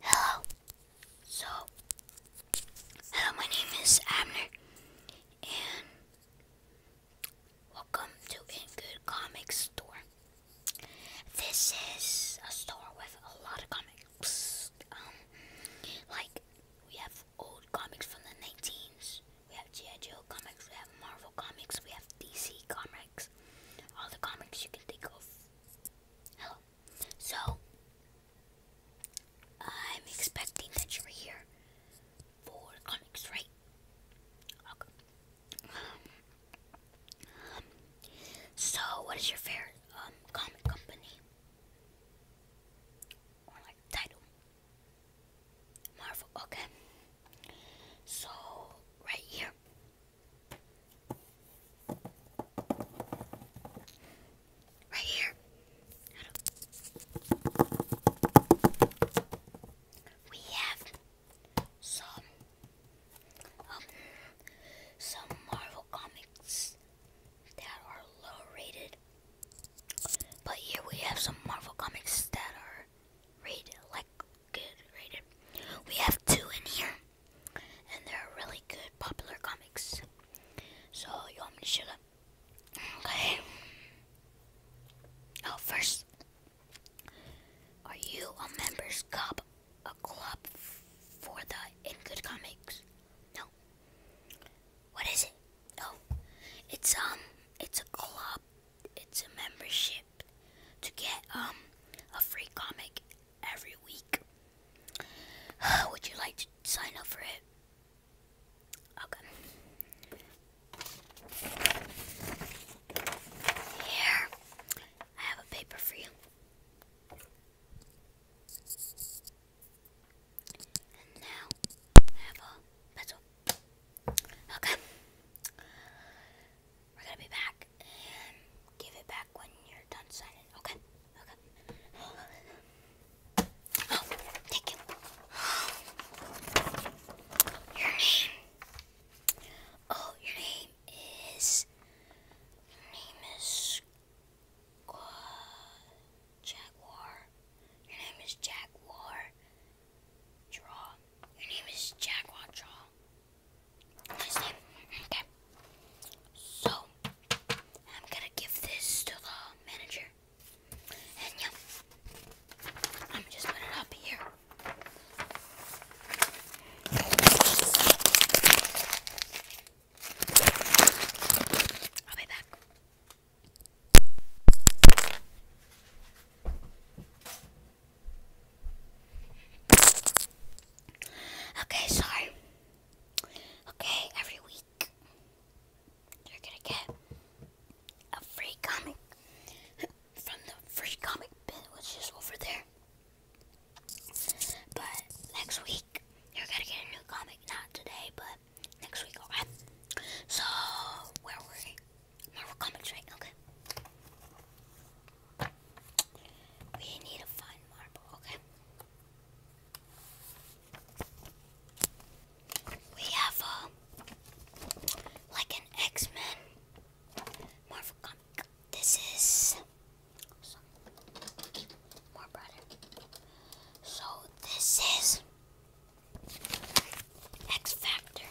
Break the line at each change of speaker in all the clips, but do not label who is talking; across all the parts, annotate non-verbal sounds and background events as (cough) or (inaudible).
Hello. So, hello, my name is Abner, and welcome to In Good Comic Store. This is a store with a lot of comics. Um, like we have old comics from the 19s. We have G.I. comics, we have Marvel comics, we have DC comics. All the comics you can think of. Hello. So, I'm expecting that you're here for comics, right? Okay. Um, so, what is your favorite um, comic company? like title. Marvel, okay. So, right here. Right here. We have some um, some Marvel comics that are low rated but here we have some Marvel comics that are rated like good rated. We have two in here, and they're really good, popular comics. So you want me to show them? Okay. Oh, first, are you a member's club? A club for the In Good Comics? No. What is it? Oh, it's um, it's a club. It's a membership to get um a free comic every week. (sighs) Would you like to sign up for it? Okay. Here, I have a paper for you. And now pencil. Okay. We're gonna be back give it back when you're done signing. Okay. Okay. Oh, thank you. Your name. Oh, your name is. name is Jaguar. Your name is Jaguar. Draw. Your name is Jaguar Draw. Okay. So, I'm gonna give this to the manager. And yeah, I'm just put it up here i Okay, sorry. Okay, every week you're gonna get a free comic (laughs) from the free comic bin, which is over there. But next week, you're gonna get a new comic. Not today, but next week, alright? So, where were we? Marvel Comics, right? Okay. We need to find Marvel, okay? We have, a uh, like an X-Men Marvel comic. This is so this is X Factor.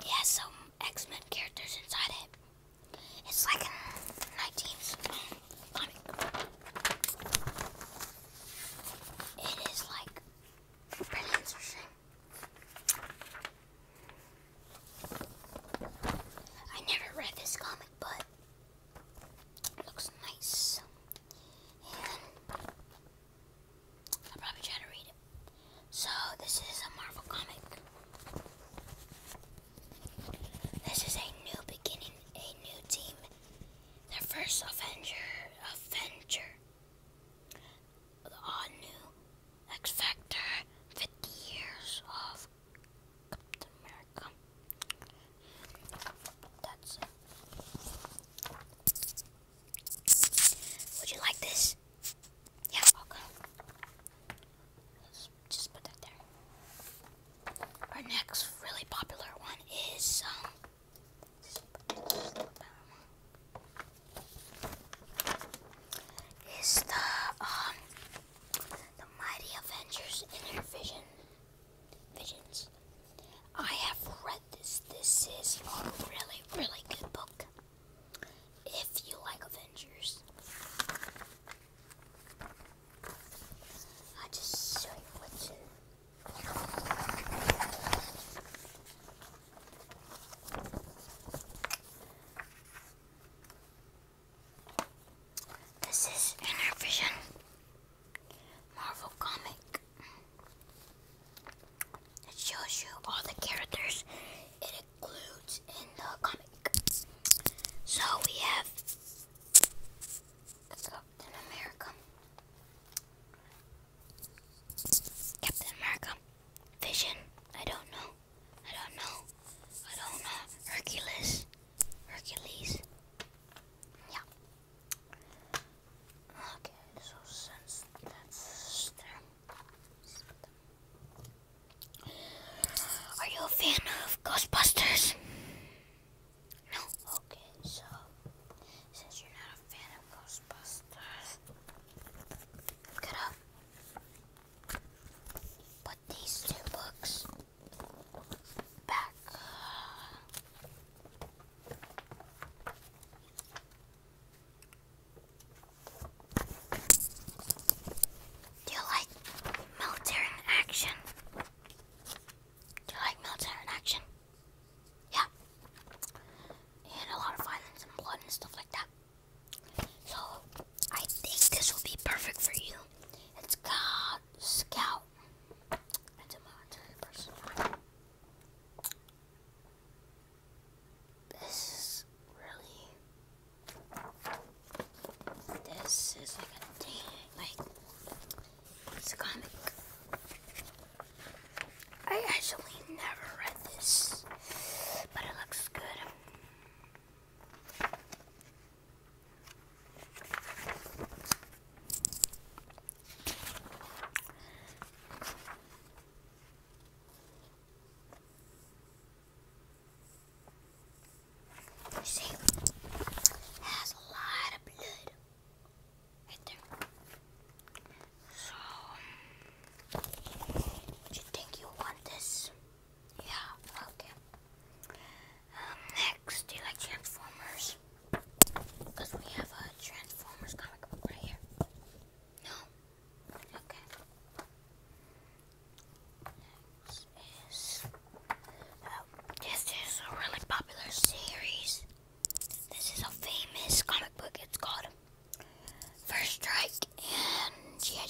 It has some X Men characters inside it. It's like a 19th comic. It is like pretty I never read this comic, but Looks nice. I'll probably try to read it. So, this is a Marvel comic. This is a new beginning, a new team. The first Avenger, Avenger. The all new X Factor, 50 years of Captain America. Would you like this? Yeah, okay. Let's just put that there. Our next really popular one is um, is the um the Mighty Avengers Inner Vision Visions. I have read this. This is a really, really good book. If you like Avengers. I just show you what's this is Inner Vision Marvel comic. It shows you all the characters it includes in the comic. So we have Captain America, Captain America, Vision. I don't know. I don't know. I don't know. Hercules. Hercules. Yeah. Okay, so since that's there. Are you a fan of Ghostbusters? No? Okay, so since you're not a fan of Ghostbusters, look up these two books back. Uh, Do you like military action? Do you like military action? Yeah. And a lot of violence and blood and stuff like that. So I think this will be perfect for you. It's called Scout. This is really. This is like a thing. Like, it's a comic. I actually never read this, but it looks good. You has a lot of blood right there. So, do you think you want this? Yeah, okay. Um, next, do you like Transformers? Because we have a Transformers comic book right here. No? Okay. Next is. Oh, this is a really popular series. This is a famous comic book. It's called First Strike and G.I.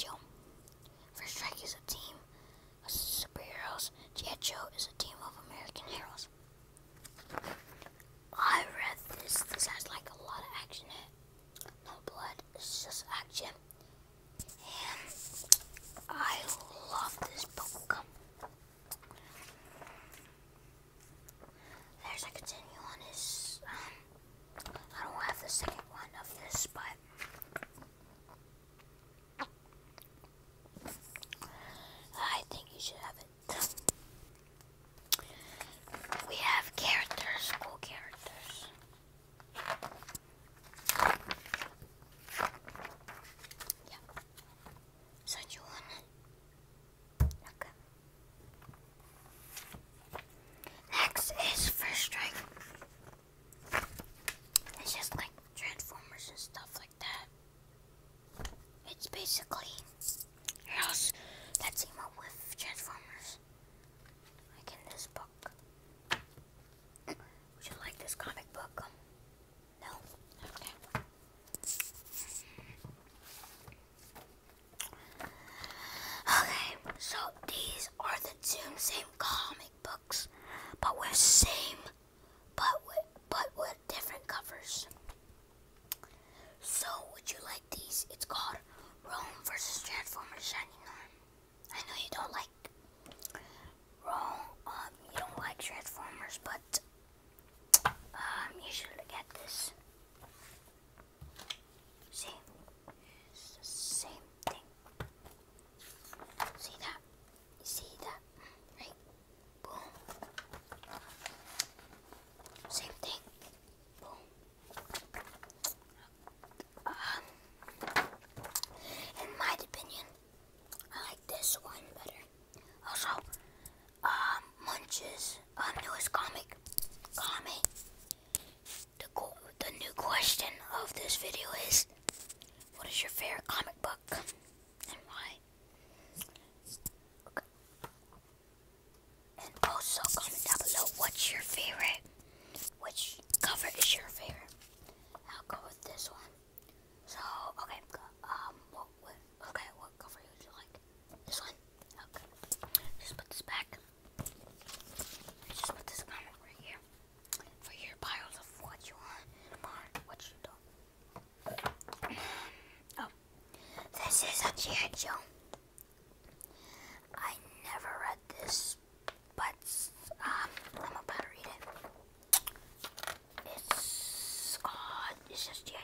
First Strike is a team of superheroes. G.I. is a team of American heroes. I read this. This has like a lot of action in it. No blood. It's just action. And I love this book. There's a continue on his I don't have the second one of this, but I think you should have it. We have characters, cool characters. Yeah. So you want it? Okay. Next is First Strike. It's just like Transformers and stuff like that. It's basically heroes that team up with Transformers. Like in this book. Would you like this comic book? No? Okay. Okay, so these are the two same comic books, but with same, but with, but with different covers. So, would you like these? It's called Rome versus Transformers Shining Arm. I know you don't like Rome, um, you don't like Transformers, but um, you should get this. See? It's the same thing. See that? see that? Right? Boom. Same thing. Boom. Um, in my opinion, I like this one better. Also, um, Munch's um, newest comic, comic. The, the new question of this video is, what is your favorite comic book and why? And also comment down below what's your favorite, which cover is your favorite. I'll go with this one. So, okay, um, Okay, what cover would you like? This one? Okay. Just put this back. Just put this comic right here. For your piles of what you want what you don't. Um, oh. This is a G.I. I never read this, but um, I'm about to read it. It's, uh, it's just G.I.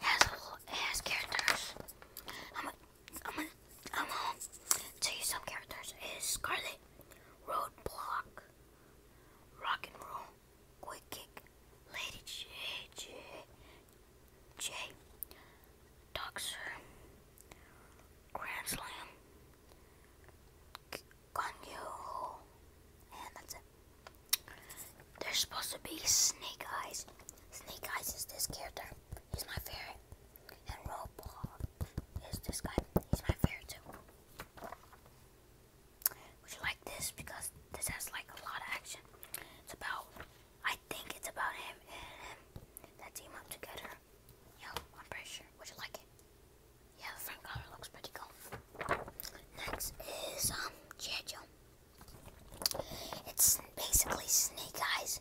It has, whole, it has characters. I'm I'm I'm going tell you some characters. is Scarlet, Roadblock, Rock and Roll, Quick Kick, Lady J, J, J, Doxer, Grand Slam, Ganyu. And that's it. There's supposed to be Snake Eyes. Snake Eyes is this character. He's my favorite. And Robot is this guy. He's my favorite too. Would you like this? Because this has like a lot of action. It's about, I think it's about him and him that team up together. Yo, I'm pretty sure. Would you like it? Yeah, the front cover looks pretty cool. Next is um Joe. It's basically Snake Eyes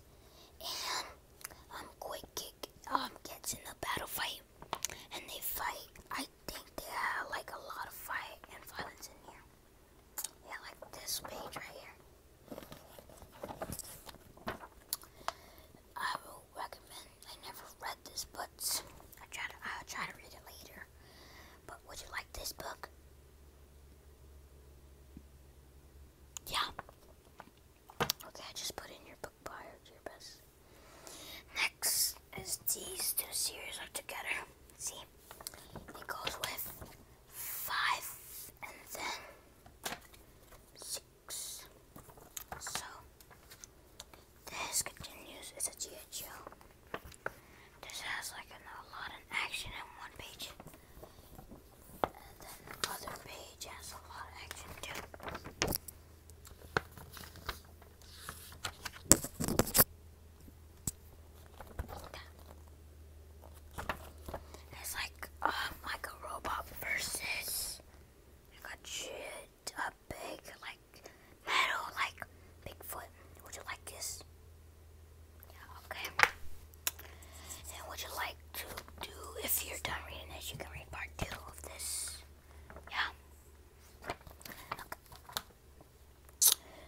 and um Quick Kick um gets in a battle fight and they fight. I think they have like a lot of fight and violence in here. Yeah, like this page right here. I will recommend I never read this, but I try to I'll try to read it later. But would you like this book? Yeah. Okay, just put in your book buyer, your best. Next is these two series are together. See, it goes with five and then six. So, this continues. It's a G.I. This has like a lot of action in one page. And then the other page has a lot of action too. It's like um like a robot versus like a shit up big, like, metal, like, Bigfoot. Would you like this? Yeah, okay. And would you like to do, if you're done reading this, you can read part two of this. Yeah.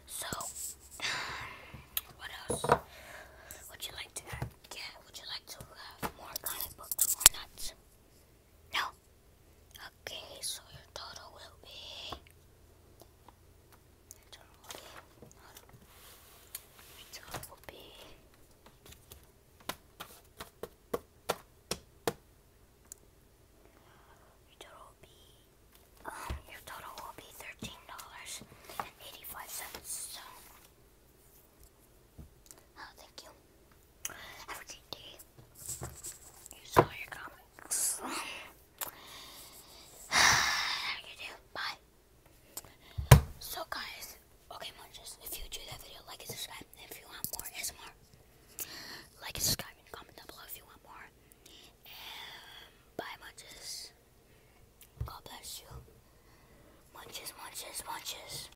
So, (sighs) what else would you like to get? Would you like to have more comic books, more nuts? No. Okay, so your total will be. Your total will be. Your total will be. Um, your total will be thirteen dollars and eighty-five cents. Oh, thank you. Have a great day. Use all your comics. you do. Bye. So, guys, okay, munches, if you enjoyed that video, like and subscribe. If you want more like and subscribe and comment down below if you want more. bye, munches. God bless you. Munches, munches, munches.